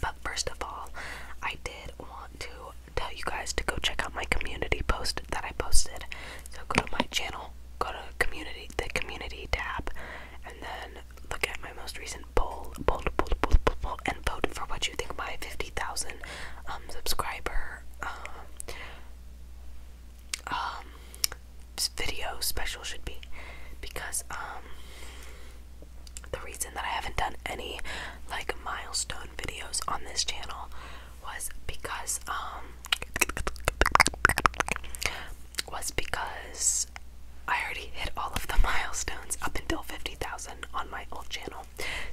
But first of all, I did want to tell you guys to go check out my community post that I posted. So go to my channel, go to community, the community tab, and then look at my most recent poll, poll, poll, poll, poll, poll and vote for what you think my 50,000 um, subscriber um, um video special should be. Because um, the reason that I haven't done any like milestone videos on this channel was because um was because I already hit all of the milestones up until 50,000 on my old channel.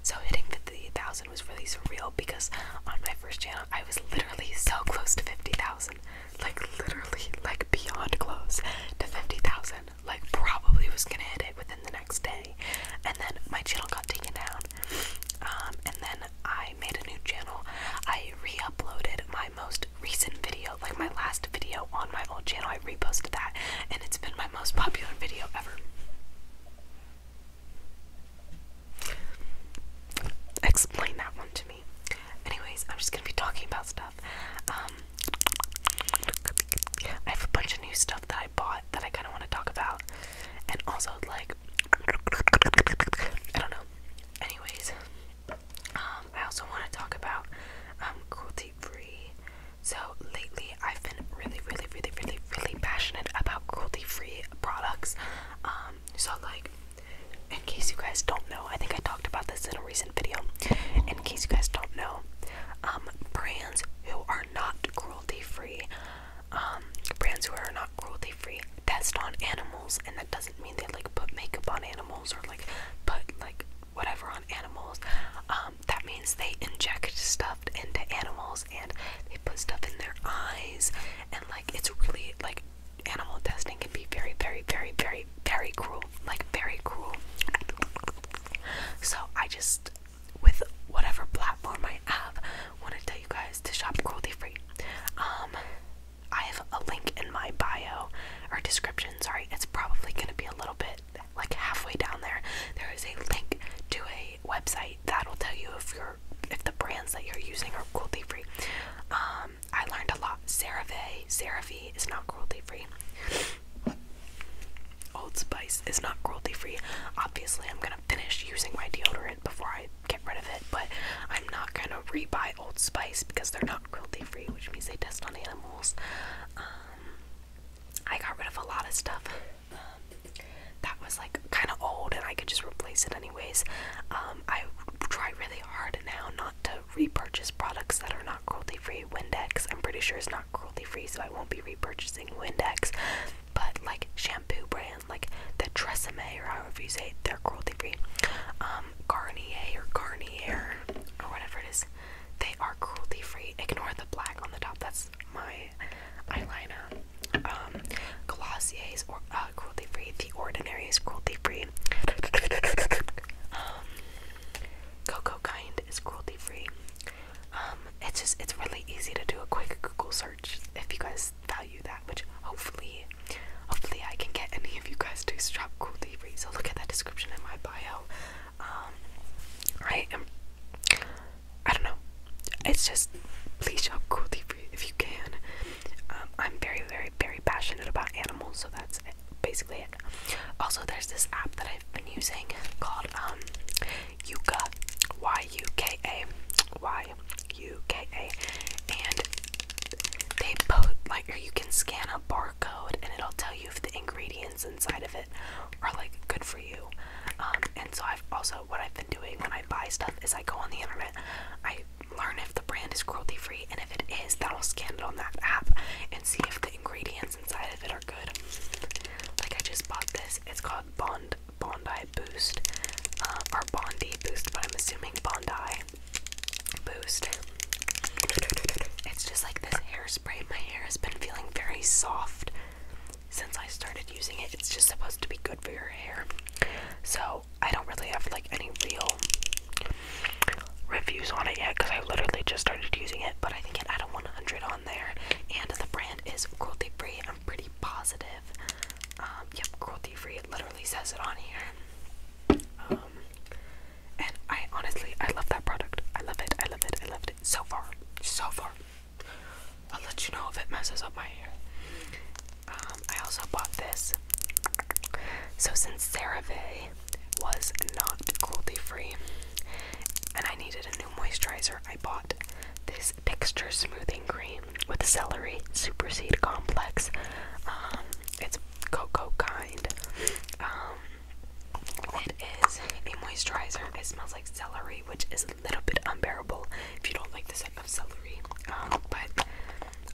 So hitting 50,000 was really surreal because on my first channel I was literally so close to 50,000 like literally like beyond close to 50,000 like probably was gonna hit it within the next day and then my channel got taken down um, and then I made a new channel I reuploaded my most recent video like my last video on my old channel I reposted that and it's been my most popular video ever explain that one to Anyways, I'm just gonna be talking about stuff. Um, I have a bunch of new stuff that I bought that I kind of want to talk about, and also like I don't know. Anyways, um, I also want to talk about um, cruelty free. So lately, I've been really, really, really, really, really passionate about cruelty free products. so like in case you guys don't know, I think I talked about this in a recent video. In case you guys don't know, um, brands who are not cruelty free, um, brands who are not cruelty free test on animals, and that doesn't mean they like put makeup on animals or like put like whatever on animals. Um, that means they inject stuff into animals and they put stuff in their eyes, and like it's really like animal testing can be very, very, very, very, very cruel. Like, very cruel. So, I just, with whatever platform I have, want to tell you guys to shop cruelty free. Um, I have a link in my bio or description. Sorry, it's probably going to be a little bit like halfway down there. There is a link to a website that'll tell you if you're if the brands that you're using are cruelty free. Um, um, I learned a lot. CeraVe, CeraVe is not cruelty free. Old Spice is not cruelty free. Obviously, I'm gonna finish using my deodorant before I get rid of it, but I'm not gonna re-buy Old Spice because they're not cruelty free, which means they test on animals. Um, I got rid of a lot of stuff um, that was like kind of old, and I could just replace it anyways. Um, I try really hard now not to repurchase products that are not cruelty free. Windex, I'm pretty sure it's not cruelty free, so I won't be repurchasing Windex. But like shampoo brand, like the Tresemme or however you say it, they're cruelty free. Um, Garnier or Garnier or whatever it is, they are cruelty free. Ignore the black on the top. That's my eyeliner. Um, Glossier's or uh, cruelty free. The Ordinary is cruelty free free. Um, Coco Kind is cruelty free. Um, it's just it's really easy to do a quick Google search if you guys value that, which hopefully, hopefully I can get any of you guys to shop cruelty free. So look at that description in my bio. Um, I am. I don't know. It's just please shop cruelty free if you can. Um, I'm very, very, very passionate about animals, so that's basically it. Also, there's this app that I've been using called um, Yuka, Y U K A, Y U K A, and they both like, or you can scan a barcode, and it'll tell you if the ingredients inside of it are like good for you. Um, and so I've also what I've been doing when I buy stuff is I go on the internet, I learn if the brand is cruelty free, and if it is, then I'll scan it on that app and see if the ingredients inside of it are good. Like I just bought this. It's called Bond Bondi Boost uh, or Bondi Boost, but I'm assuming Bondi Boost. It's just like this hairspray. My hair has been feeling very soft since I started using it. It's just supposed to be good for your hair. So I don't really have like any real reviews on it yet because I literally just started using it, but I think it had a 100 on there, and the brand is cruelty free. I'm pretty positive. Um, yep, cruelty free. It literally says it on here. Um, and I honestly, I love that product. I love it. I love it. I love it so far. So far. I'll let you know if it messes up my hair. Um, I also bought this. So since CeraVe was not cruelty-free, and I needed a new moisturizer, I bought this Texture Smoothing Cream with Celery Superseed Complex. Um, it's cocoa kind. Um, it is a moisturizer. It smells like celery, which is little bit unbearable if you don't like the scent of celery. Um, but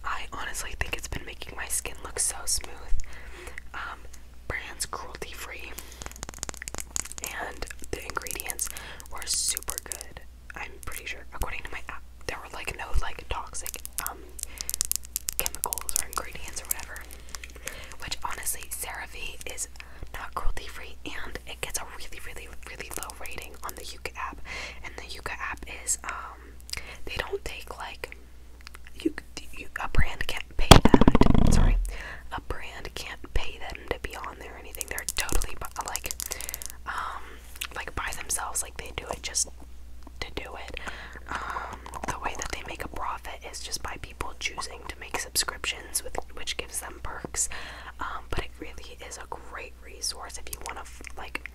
I honestly think it's been making my skin look so smooth. Um, brands cruelty free, and the ingredients were super good. I'm pretty sure, according to my app, there were like no like toxic um, chemicals or ingredients or whatever. Which honestly, CeraVe is not cruelty free, and it gets a really, really, really low low rating on the Yuka app, and the Yuka app is um they don't take like you, you a brand can't pay them. To, sorry, a brand can't pay them to be on there or anything. They're totally like um like by themselves. Like they do it just to do it. Um, the way that they make a profit is just by people choosing to make subscriptions with which gives them perks. Um, but it really is a great resource if you want to, like,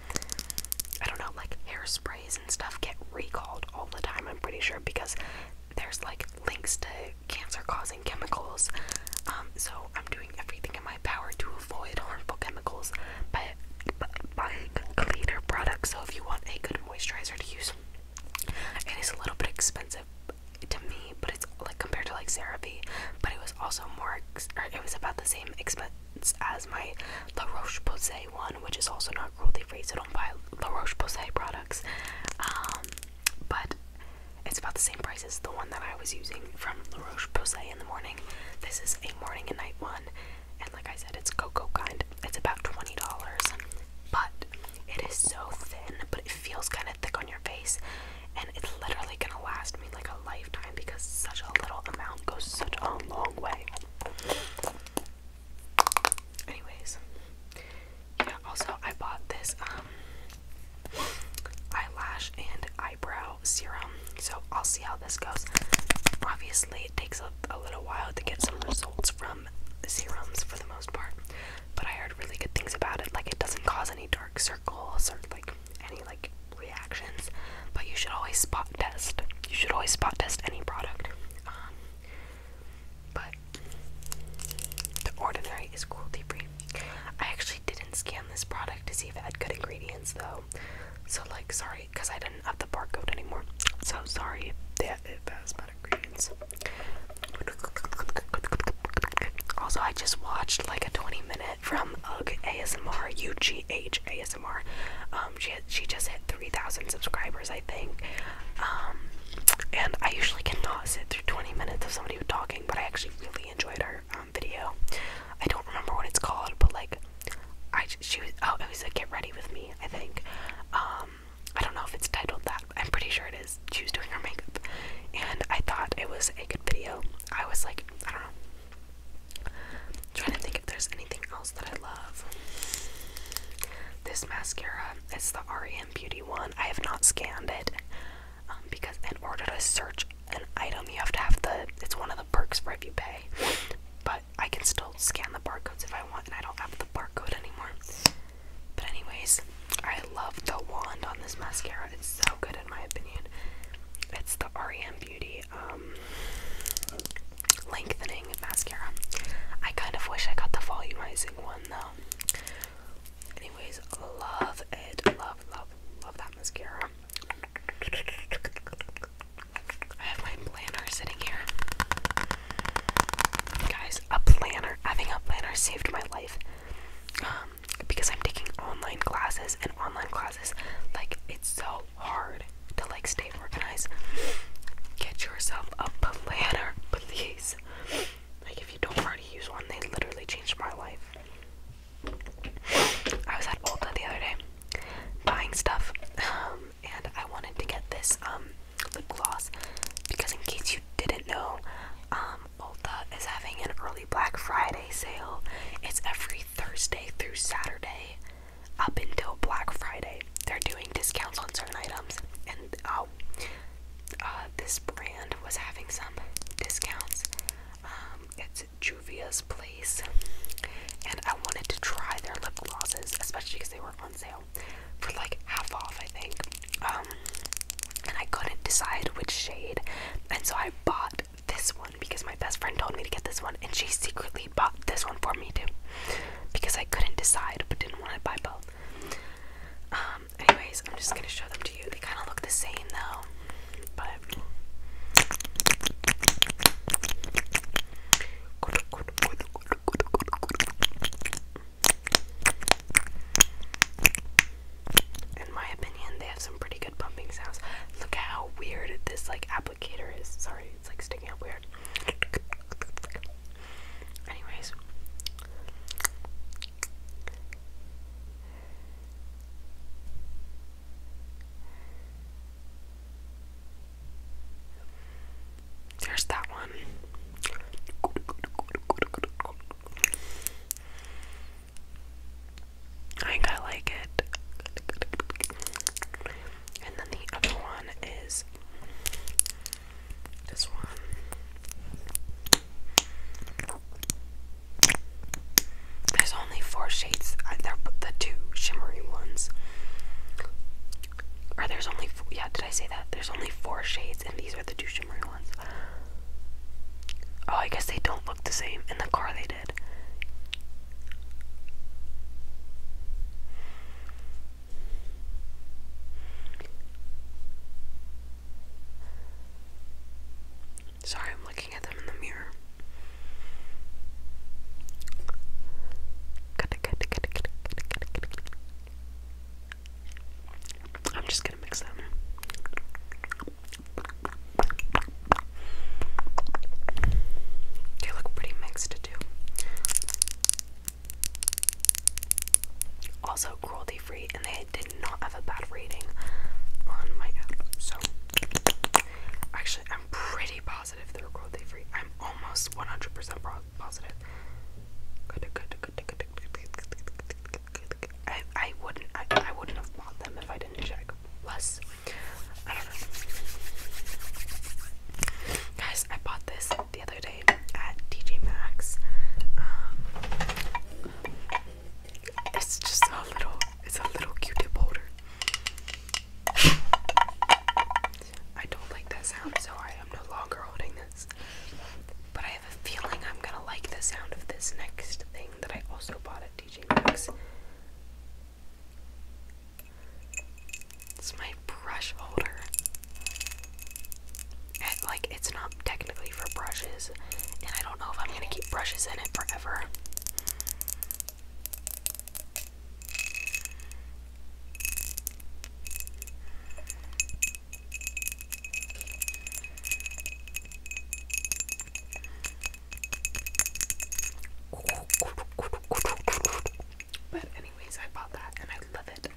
I don't know, like hairsprays and stuff get recalled all the time, I'm pretty sure, because there's like links to cancer causing chemicals. Um, so I'm doing everything in my power to avoid harmful chemicals by, by buying cleaner products. So if you want a good moisturizer to use, it is a little bit expensive, to me, but it's like compared to like therapy, but it was also more, it was about the same expense as my La Roche Posay one, which is also not cruelty free, so don't buy La Roche Posay products. Um, but it's about the same price as the one that I was using from La Roche Posay in the morning. This is a morning and night one, and like I said, it's cocoa kind. It's about $20, but it is so thin, but it feels kind of thick on your face, and it's literally gonna last me like a lifetime because such a little amount goes such a long way. Anyways, yeah. Also, I bought this um eyelash and eyebrow serum, so I'll see how this goes. Obviously, it takes a, little while to get some results from serums for the most part, but I heard really good things about it. Like it doesn't cause any dark circles or goals or like any like reactions, but you should always spot test. You should always spot test any product. Um, but the Ordinary is cruelty free. I actually didn't scan this product to see if it had good ingredients though, so like sorry, cause I didn't have the barcode anymore. So sorry if that if that ingredients. Also, I just watched like a 20 minute from UG ASMR, UGH ASMR. Um, she she just hit 3,000 subscribers, I think. Um, and I usually cannot sit through 20 minutes of somebody talking, but I actually really enjoyed her um, video. I don't remember what it's called, but like, I she was oh it was a get ready with me, I think. Um, I don't know if it's titled that. I'm pretty sure it is. She was doing her makeup, and I thought it was a good video. I was like, I don't know. I'm trying to think if there's anything else that I love. This mascara, it's the REM Beauty one. I have not scanned it um, because in order to search an item, you have to have the. It's one of the perks for if you pay. But I can still scan the barcodes if I want, and I don't have the barcode anymore. But anyways, I love the wand on this mascara. It's so good in my opinion. It's the REM Beauty um, lengthening mascara. I kind of wish I got the volumizing one though. Anyways, love it. Love, love, love that mascara. I have my planner sitting here. Guys, a planner. Having a planner saved my life. Um, because I'm taking online classes and online classes like it's so hard to like stay organized. Get yourself a planner, please. Like if you don't already use one, they literally changed my life. I was at Ulta the other day buying stuff, um, and I wanted to get this um lip gloss because in case you didn't know, um, um, Ulta is having an early Black Friday sale. It's every Thursday through Saturday up until Black Friday. They're doing discounts on certain items, and uh, uh, this brand was having some discounts. Um, it's Juvia's Place, and I wanted to try their lip glosses, especially because they were on sale for like half off, I think. Um, and I couldn't decide which shade, and so I bought this one because my best friend told me to get this one, and she secretly bought this one for me too because I couldn't decide but didn't want to buy both. Um, anyways, I'm just gonna show them to you. They kind of look the same though, but. In my opinion, they have some pretty good pumping sounds. Look how weird this like applicator is. Sorry, it's like sticking out weird. Anyways. There's that one. I think I like it. And then the other one is this one. There's only four shades. I, they're the two shimmery ones. Or there's only four, yeah, did I say that? There's only four shades, and these are the two shimmering ones. Oh, I guess they don't look the same. In the car, they did. Sorry, I'm looking at them in the mirror. I'm just gonna mix them. They look pretty mixed too. Also cruelty free, and they did not have a bad rating on my app. So actually, I'm pretty positive they're cruelty free. I'm almost 100% positive positive. I, I wouldn't, I, I wouldn't have bought them if I didn't check. Plus, I Guys, I bought this the other day at TJ Maxx. it's just a little, it's a little Q-tip holder. I don't like that sound, so I am no longer holding this. But I have a feeling I'm gonna like the sound of this next thing that I also bought at TJ Maxx. It's my brush holder. And, like, it's not technically for brushes, and I don't know if I'm gonna keep brushes in it forever. But anyways, I bought that and I love it.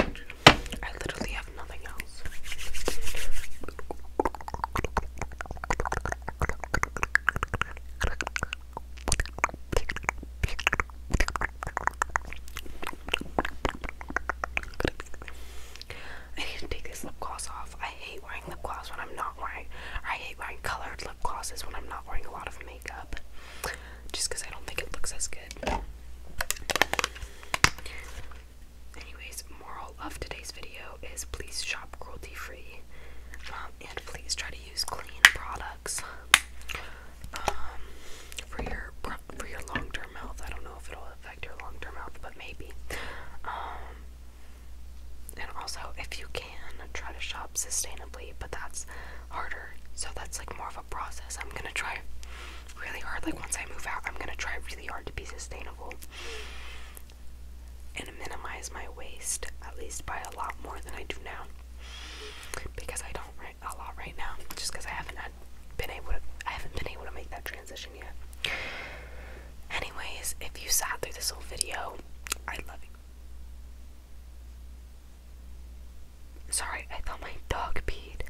I literally have nothing else. I need to lip gloss off. I hate wearing lip gloss when I'm not wearing, I hate wearing colored lip glosses when I'm not wearing a lot of makeup, just because I don't think it looks as good. Anyways, moral of today's video is please shop cruelty free, um, and please try to use clean products um, for your for your long-term health. I don't know if it'll affect your long-term health, but maybe. Um, and also, if you can, try to shop sustainably, but that's harder. So that's like more of a process. I'm gonna try really hard. Like once I move out, I'm gonna try really hard to be sustainable and minimize my waste at least by a lot more than I do now because I don't write a lot right now just because I haven't been able to I haven't been able to make that transition yet. Anyways, if you sat through this whole video, I love you. Sorry, I thought my dog peed.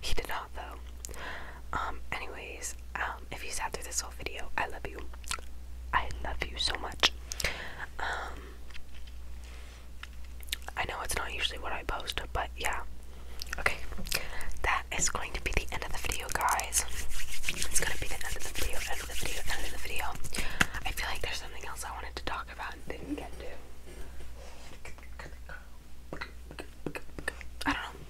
He did not though. Um anyways, um, if you sat through this whole video, I love you. I love you so much. Um, I know it's not usually what I post, but yeah. Okay, that is going to be the end of the video, guys. It's going to be the end of the video, end of the video, end of the video. I feel like there's something else I wanted to talk about and didn't get to. I don't know.